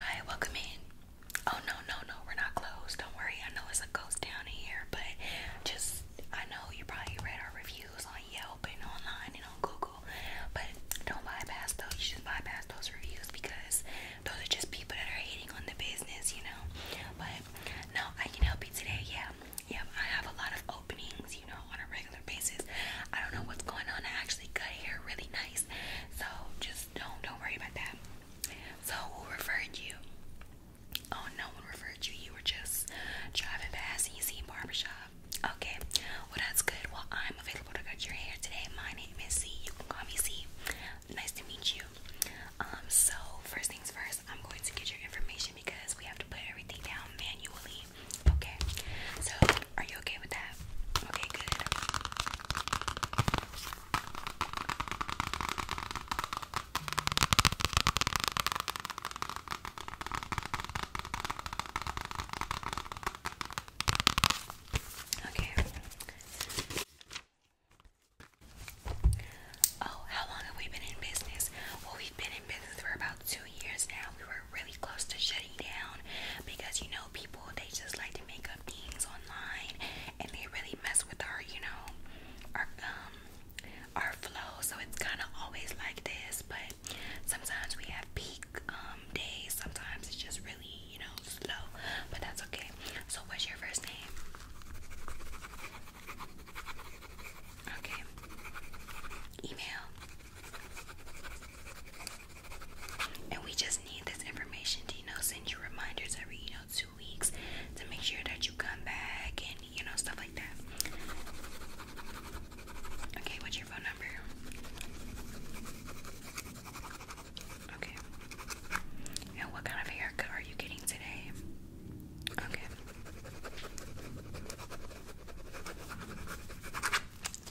Hi, welcome in. Oh no, no, no, we're not closed. Don't worry. I know it's a ghost town in here, but just I know you probably read our reviews on Yelp and online and on Google, but don't bypass those. You bypass those reviews because those are just people that are hating on the business, you know. But no, I can help you today. Yeah, yeah. I have a lot of openings, you know, on a regular basis. I don't know what's going on. I actually cut hair really nice so just don't don't worry about that. So who referred you? Oh, no one referred you. You were just driving past and you see a barbershop. Okay, well that's good. Well, I'm available to cut your hair today. My name is C. You can call me C. Nice to meet you. Um, so first things first, I'm going to get your information because we have to put everything down manually. Okay, so are you okay with that? Okay, good. Okay. Oh, how long have we been in business? Well, we've been in business for about two years now. We were really close to shutting down because you know people they just like to make things online and they really mess with our, you know, our um our flow. So it's kind of always like this, but sometimes we have peak um days, sometimes it's just really, you know, slow. But that's okay. So what's your first name? Okay. Email. And we just need this information to, you know, send you reminders every, you know, two weeks to make sure that you come back and, you know, stuff like that. Okay, what's your phone number? Okay. And what kind of haircut are you getting today? Okay.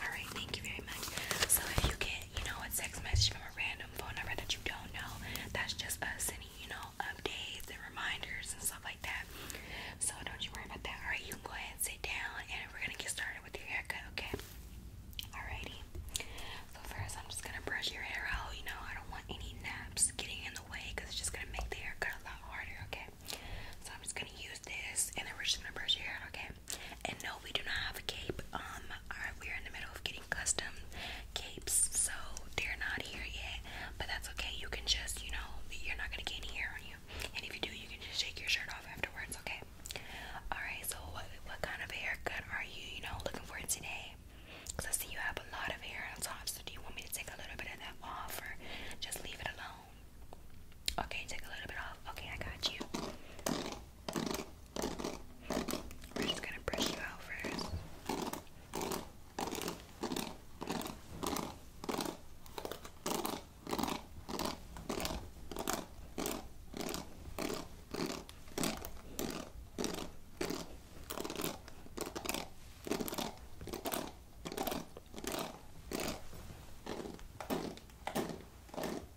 Alright, thank you very much. So if you get you know, a text message from a random phone number that you don't know. That's just us and you know, updates and reminders and stuff like that. So don't you worry about that. Alright, you can go ahead and sit down and we're gonna get started with your haircut, okay? Alrighty. So first I'm just gonna brush your hair out, you know, I don't want any naps getting in the way because it's just gonna make the haircut a lot harder, okay? So I'm just gonna use this and then we're just gonna brush your hair out, okay? And no, we do not have a cape. Um, we're in the middle of getting custom capes, so they're not here yet. But that's okay. You can just, you know, you're not gonna get any hair on you. And if you do, you can just shake your shirt off afterwards. Okay. All right. So what what kind of haircut are you, you know, looking for today? Cause I see you have a lot of hair on top. So do you want me to take a little bit of that off, or just leave it alone? Okay, take a little bit off. Okay, I got you. We're just gonna brush you out first.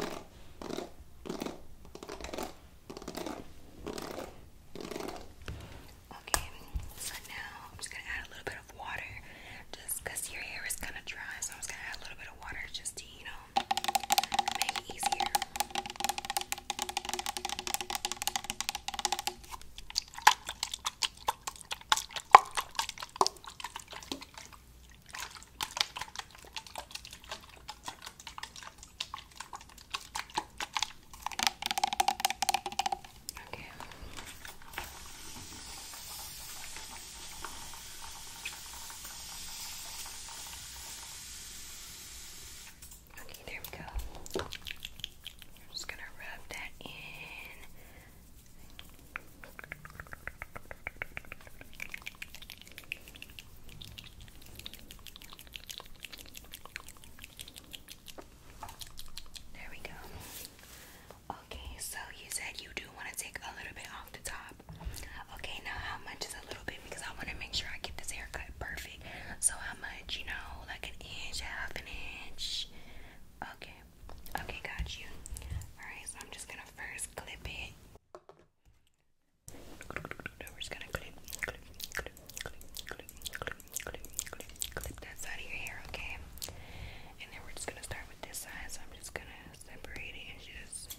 Okay, so now I'm just gonna add a little bit of water just because your hair is kind of dry, so I'm just gonna add a little bit of water just to, you know, make it easier. Okay. Okay, there we go. I'm just gonna rub that in. There we go. Okay, so you said you do want to take a little bit off the top. Okay, now how much is a little bit? Because I want to make sure I get this haircut perfect. So how much? You know, like an inch, half an inch. Okay, okay, got you. All right, so I'm just gonna first clip it. We're just gonna clip, that side of your hair, okay? And then we're just gonna start with this side, so I'm just gonna separate it and just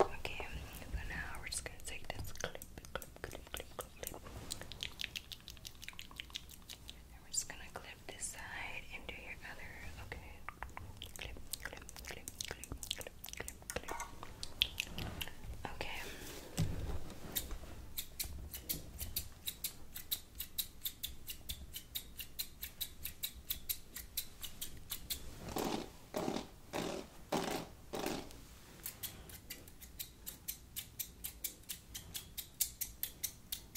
Okay, for now we're just gonna take this clip, clip, clip, clip, clip, clip we're just gonna clip this side into your other. Okay. Clip, clip, clip, clip, clip, clip, clip. Okay. Okay.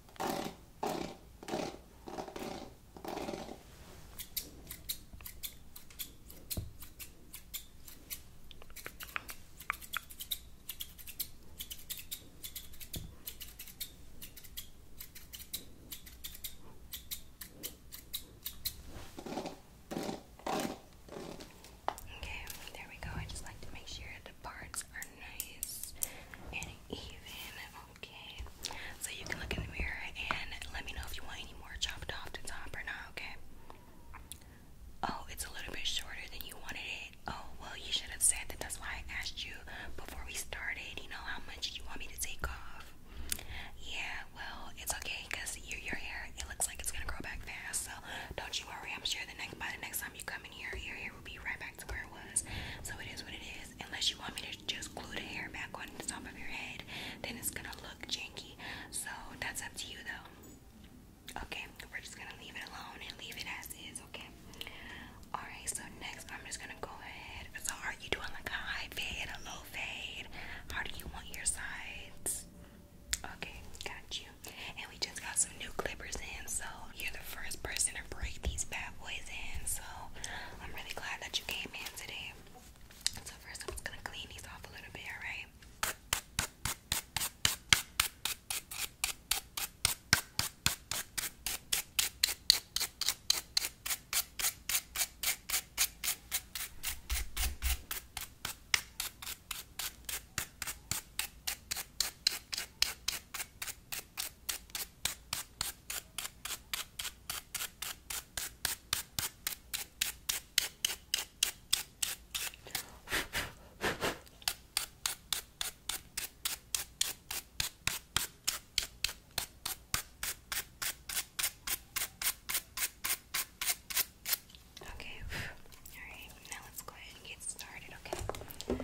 Okay, there we go. I just like to make sure the parts are nice and even. Okay, so you can look in the mirror and let me know if you want any more chopped off the top or not, okay? Oh, it's a little bit shorter than you wanted it. Oh, well, you should have said that. That's why I asked you before we started, you know, how much you want me to take off. Yeah, well, it's okay because your, your hair, it looks like it's going to grow back fast. So don't you worry. I'm sure the next by the next time you come in here, your hair will be right back to where it was. So it is what it is unless you want me to just glue the hair back on the top of your head then it's gonna look janky so that's up to you though okay we're just gonna leave it alone and leave it as is okay all right so next i'm just gonna go ahead so are you doing like a high fade a low fade how do you want your sides okay got you and we just got some new clippers in so you're the first person to break these bad boys in, so I'm really glad that you came in today. So, first, I'm just gonna clean these off a little bit, alright? Okay, alright, now let's go ahead and get started, okay? Okay,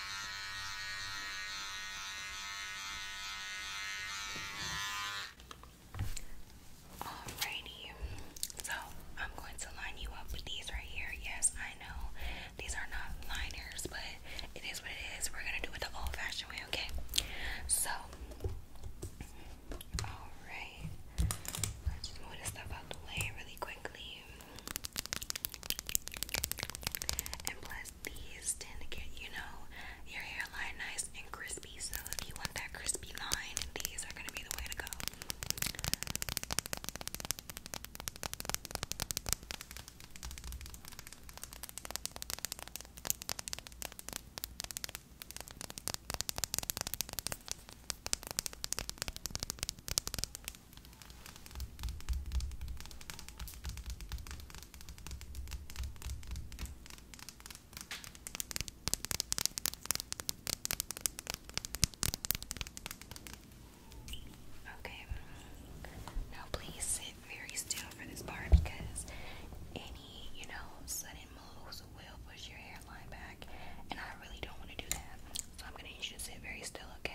Alrighty, so I'm going to line you up with these right here. Yes, I know these are not liners, but it is what it is. We're gonna do it the old fashioned way, okay? So, alright, let's move this stuff out the way really quickly. And plus, these tend to get, you know, your hairline nice and crispy. So if you want that crispy line, these are gonna be the way to go. Okay, now please sit very still for this part because any, you know, sudden moves will push your hairline back, and I really don't want to do that. I'm gonna need you to sit very still, okay?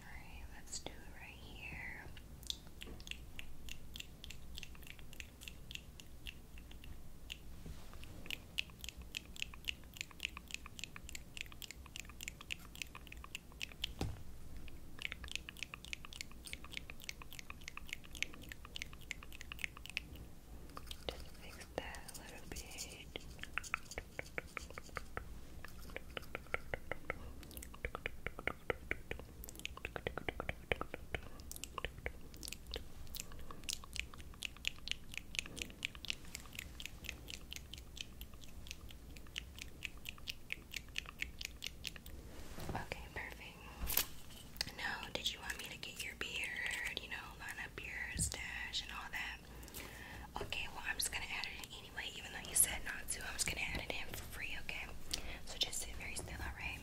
Alright, let's do it right here. Just fix that little bit. Okay, perfect. Now, did you want me to get your beard, you know, Okay, well, I'm just gonna add it in anyway, even though you said not to. I'm just gonna add it in for free, okay? So just sit very still, alright?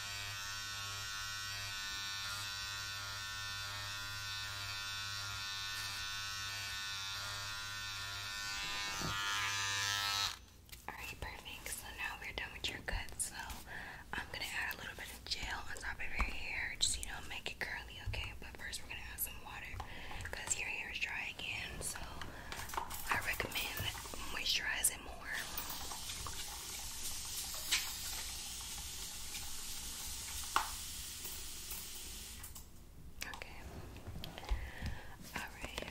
Alright, perfect. So now we're done with your cut. So I'm gonna add a little bit of gel on top of your hair, just you know, make it curly, okay? But first, we're gonna add some water because your hair is dry again. So I recommend moisturizing more. Okay. All right.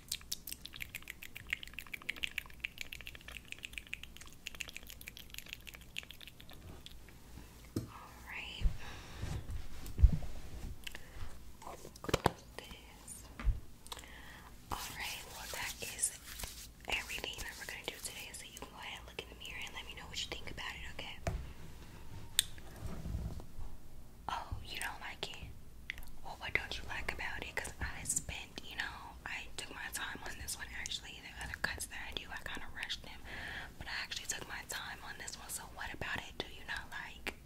All right. Close this. All right. Well, that is everything that we're gonna do today. So you can go ahead and look in the mirror and let me know what you think about it. Okay. Oh, you don't like it? Oh, what don't you like about it? Because I spent, you know, I took my time on this one actually. The other cuts that I do, I kind of rushed them, but I actually took my time on this one. So, what about it do you not like?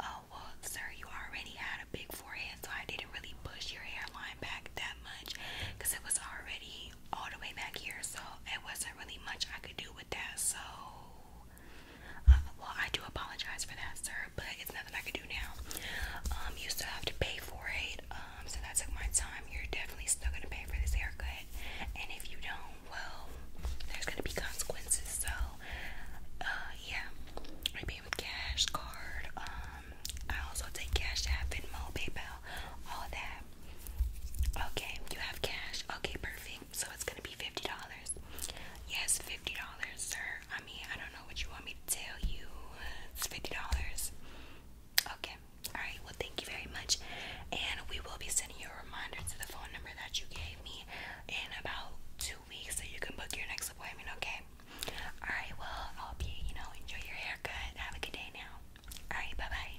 Oh, well, sir, you already had a big forehead, so I didn't really push your hairline back that much because it was already all the way back here, so it wasn't really much I could do with that. So, uh, well, I do apologize for that, sir, but it's nothing I can do now. Um, you still have to pay for it. Um, so took my time. You're definitely still gonna pay for this haircut, and if you don't, well, there's gonna be consequences. So, uh, yeah, I pay with cash, card. Um, I also take cash app, Venmo, PayPal, all that. Okay, you have cash. Okay, perfect. So it's gonna be fifty dollars. Yes, fifty dollars, sir. I mean, I don't know what you want me to tell you. It's $50. Okay. Alright, well, thank you very much. And we will be sending you a reminder to the phone number that you gave me in about two weeks so you can book your next appointment, okay? Alright, well, I hope you, you know, enjoy your haircut. Have a good day now. Alright, bye bye.